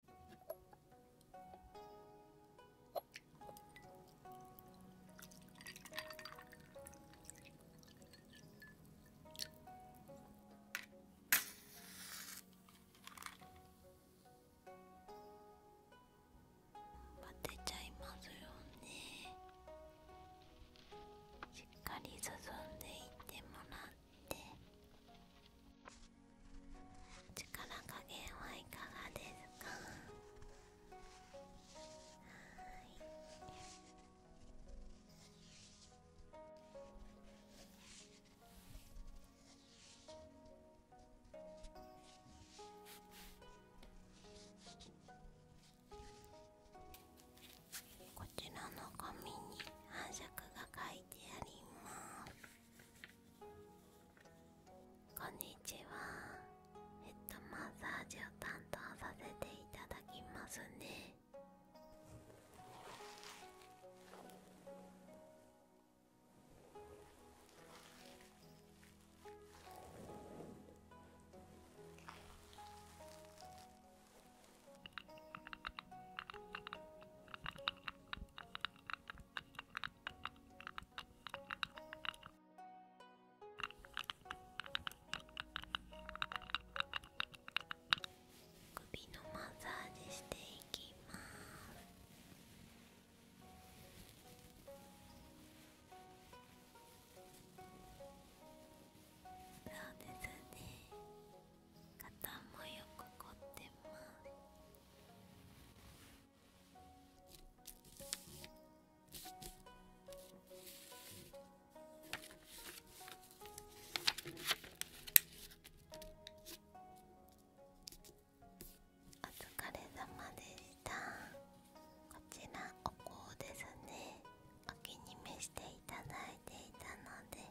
しっかり進んでいってもらって。っ力加減はいかがですかこちらの紙に反射が書いてありますこんにちはヘッドマッサージを担当させていただきますね首のマッサージしていきますそうですね肩もよく凝ってますお疲れ様でしたこちらお香ですねお気に召していただいていたので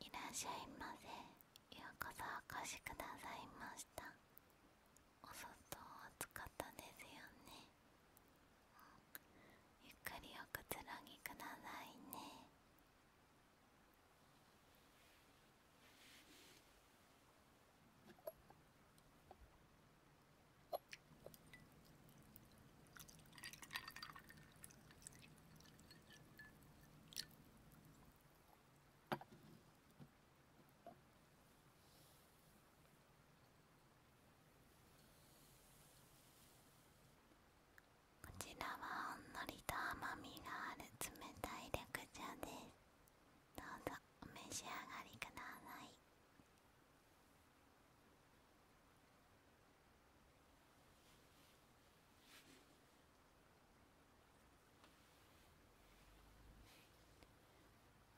いらっしゃいませようこそお越しくださいましたお外暑かったですよね、ゆっくりおくつろぎくださいねこちらはほんのりと甘みがある冷たい緑茶ですどうぞお召し上がりください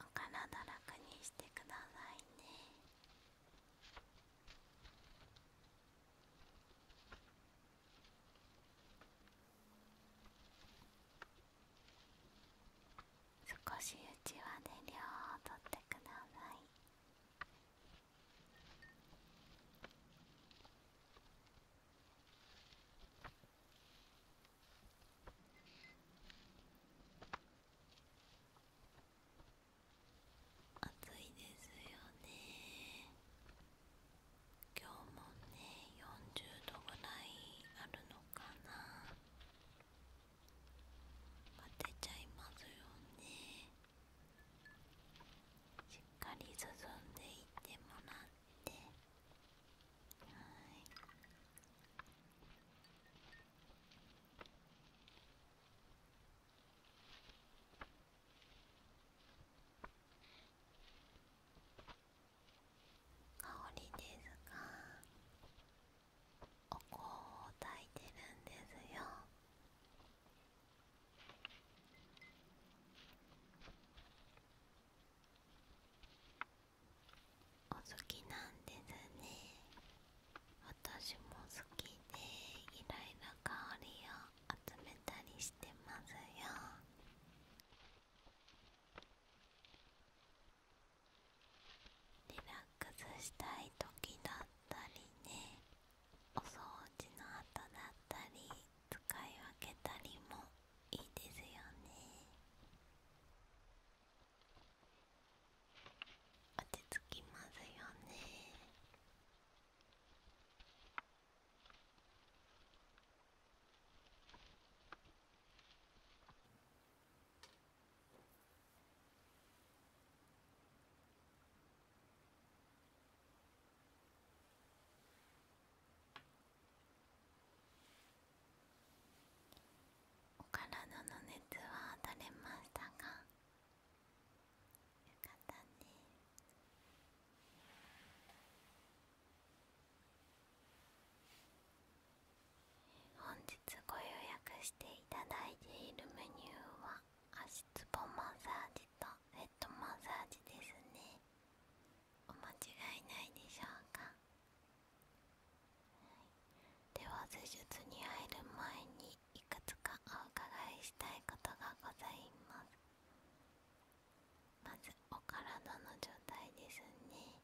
お体楽にしてくださいね少しうちわで量をとってください暑いですよね今日もね40度ぐらいあるのかな当てちゃいますよねしっかり進んでいってもらってはい。香りですがお香を焚いてるんですよお好きなんですね私も好きでいろいろ香りを集めたりしてますよリラックスしたい時だったりねお掃除の後だったり使い分けたりもいいですよね落ち着きますよねお体の熱は取れましたが。よかったね本日ご予約していただいているメニューは足つぼマッサージとヘッドマッサージですねお間違いないでしょうかでは施術に入る前にいくつかお伺いしたいことがございますまずお体の状態ですね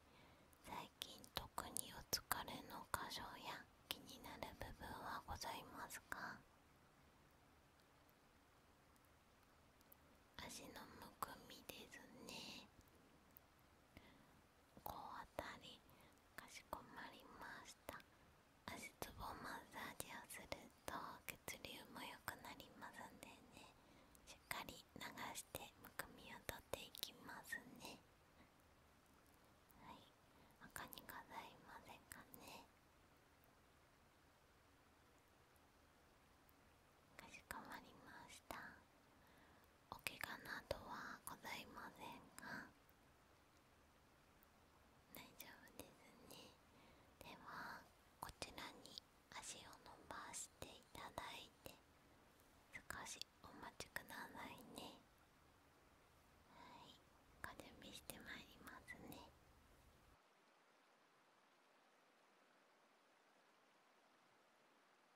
最近特にお疲れの箇所や気になる部分はございますか足のむくみですねこう当たりかしこまりました足つぼマッサージをすると血流も良くなりますんでねしっかり流してむくみを取っていきますねはい他にございませんかねかしこまりましたお怪我などはございませんか大丈夫ですねではこちらに足を伸ばしていただいて少しお待ちくださいねはい風準備してまいりますね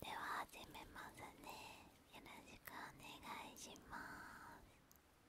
では始めますねよろしくお願いします。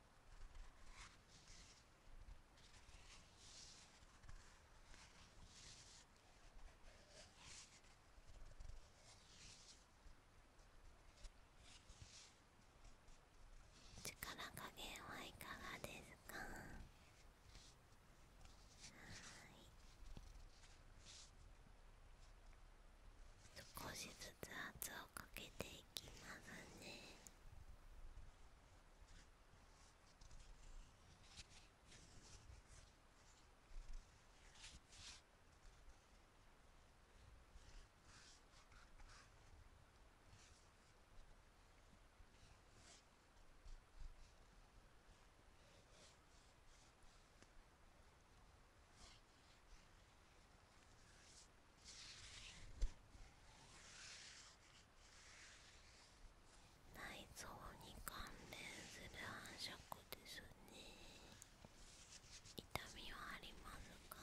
力加減はいかがですか少しずつ。ずつ圧をかけていきますね。内臓に関連する繁殖ですね痛みはありますか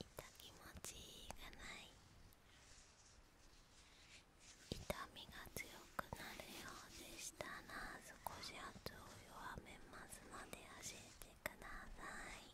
痛気持ちいいがない痛みが強くなるようでしたら少し圧を弱めますので教えてください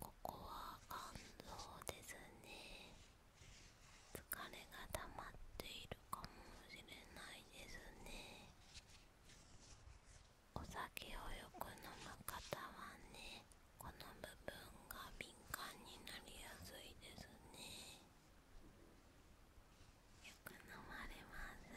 ここは肝臓ですね疲れが溜まっているかもしれないですねお酒をよく飲む方はねこの部分が敏感になりやすいですねよく飲まれます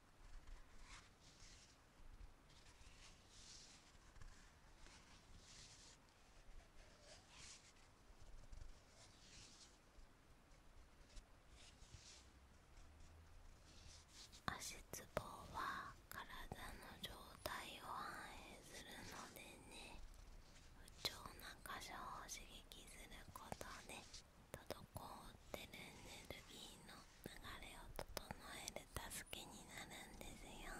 足つぼは体の状態を反映するのでね不調な箇所を刺激することね。滞ってるエネルギーの流れを整える助けになるんですよ「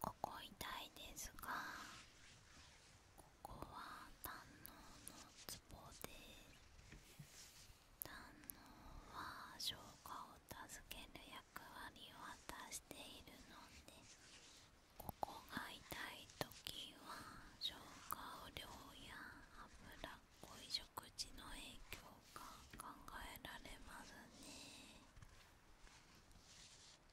ここ痛いですが。ここは胆ののツボで胆のは消化を助ける役割を果たしているのでここが痛い時は消化不良や脂っこい食事の影響が考えられますね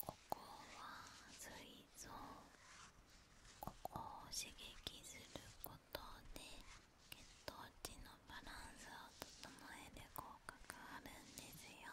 ここは膵臓ここを刺激することで血糖値のバランスを整える効果があるんですよ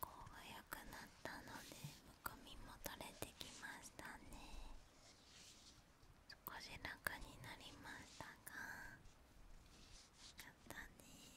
構早くなったのでむくみも取れてきましたね少し楽になりましたがやったね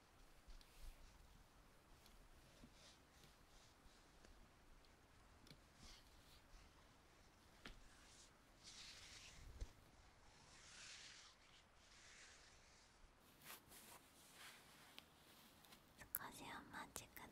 少しお待ちください。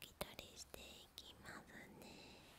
拭き取りしていきますね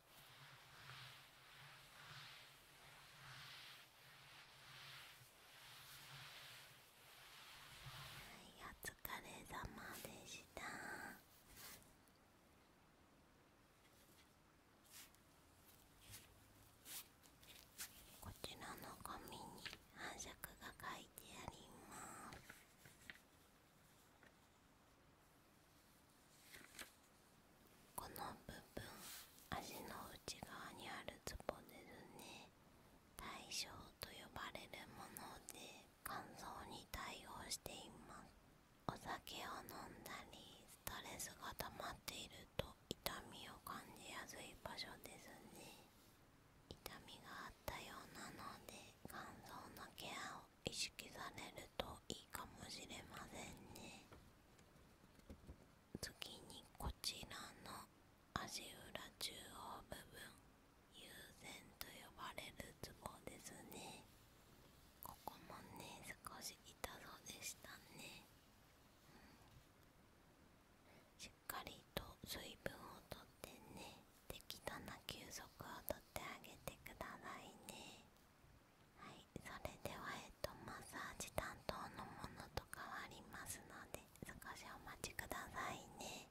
はい、お疲れ様でしたこちらの紙に反射区が書いてありますこの部分足の内側にあるツボですね対象と呼ばれるもので乾燥に対応していますお酒を飲んだりストレスが溜まっていると痛みを感じやすい場所ですね痛みがあったようなので乾燥のケアを意識されるといいかもしれませんね次にこちらの足裏中央部分優先と呼ばれるツボですねここもね少し痛そうでしたね、しっかりと水分をとってね適当な休息をとってあげてくださいねはいそれではえっとマッサージ担当のものと変わりますので少しお待ちくださいね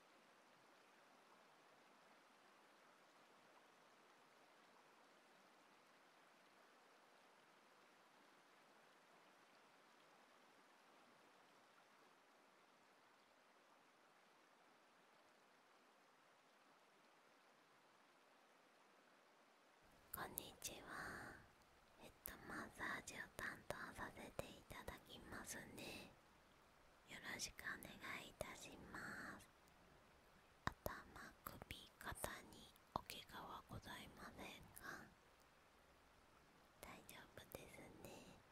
こんにちはヘッドマッサージを担当させていただきますねよろしくお願いいたします頭首肩におけがはございませんが大丈夫ですね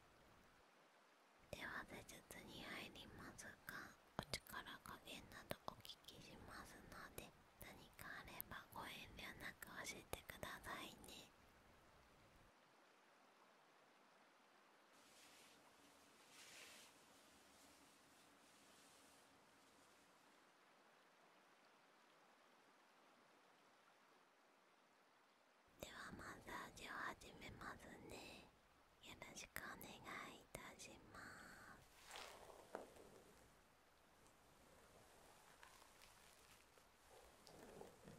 では施術に入りますがお力加減などお聞きしますので何かあればご遠慮なく教えてくださいねではマッサージを始めますねよろしくお願いいたしま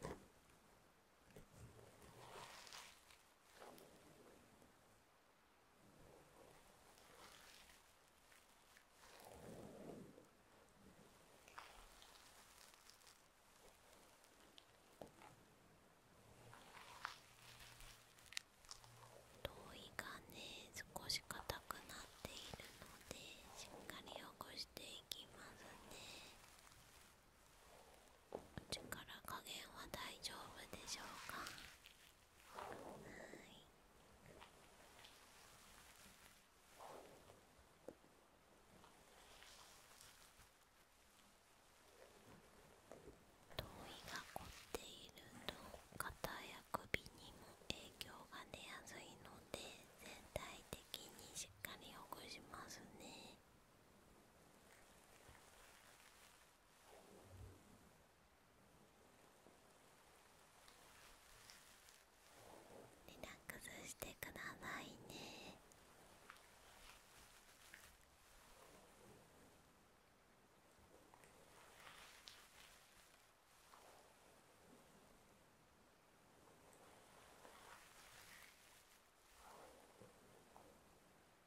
す頭皮がね少し硬くなっているのでしっかりほぐしていきますね。口から加減は大丈夫でしょうかはい頭皮が凝っていると肩や首にも影響が出やすいので全体的にしっかりほぐしますねリラックスしてくださいね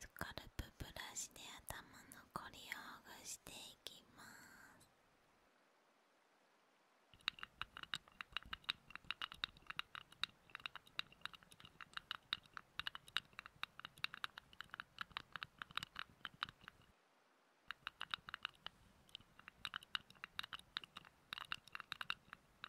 スカルプブラシで頭のこりをほぐしていきます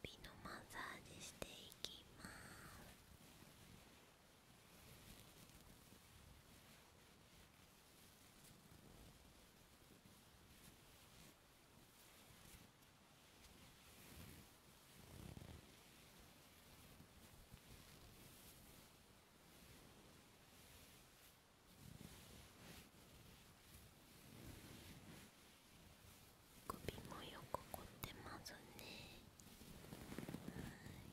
首のマッサージしていきます首もよく凝ってますねはい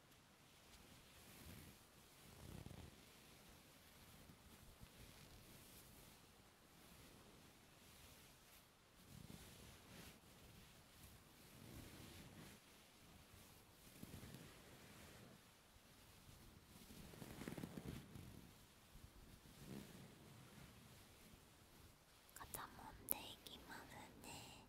肩もんでいきますね。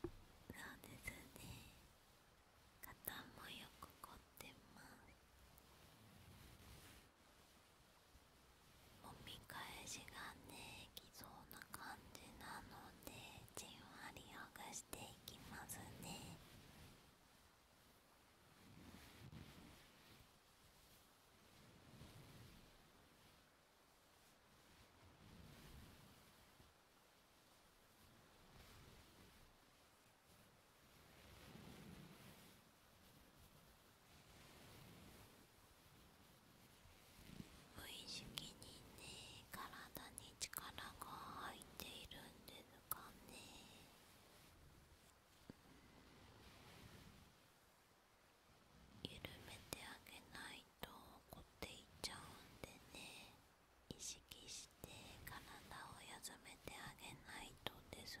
そうですね肩もよく凝ってますもみ返しがねきそうな感じなのでじんわりほぐしていきますね無意識にね体に力が入っているんですかね緩めてあげないと。とこっていっちゃうんでね意識して体を休めてあげないとですね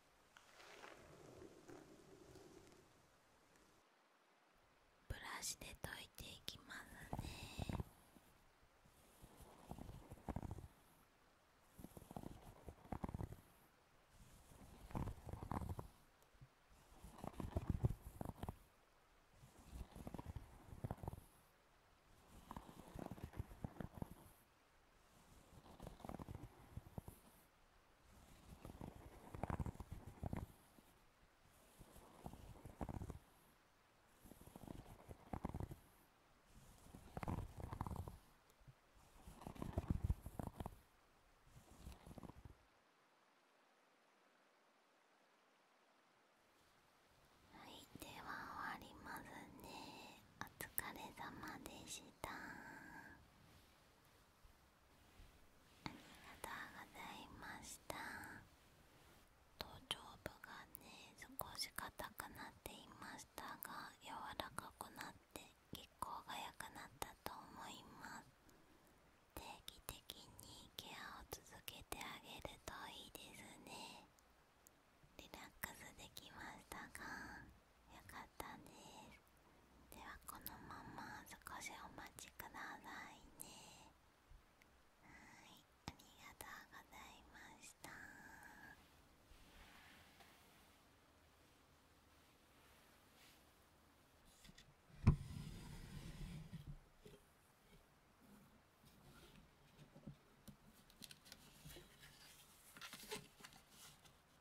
ブラシで溶いていきますねはいでは終わりますねお疲れ様でしたありがとうございました頭頂部がね少し硬くなっていましたが柔らかくなって血行が良くなったと思います定期的にケアを続けてあげるといいですねリラックスできましたがよかったですではこのまま少しお待ちくださいねはいありがとうございました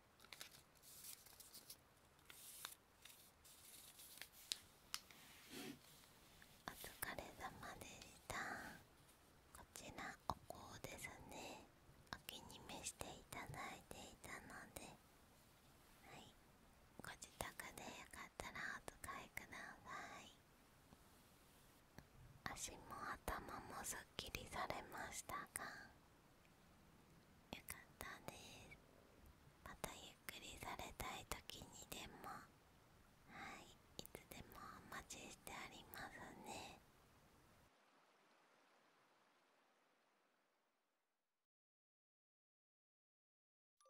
お疲れ様でしたこちらお香ですねお気に召していただいていたのではいご自宅でよかったらお使いください足も頭もすっきりされましたかよかったですまたゆっくりされたい時にでもはいいつでもお待ちしてありますねうん。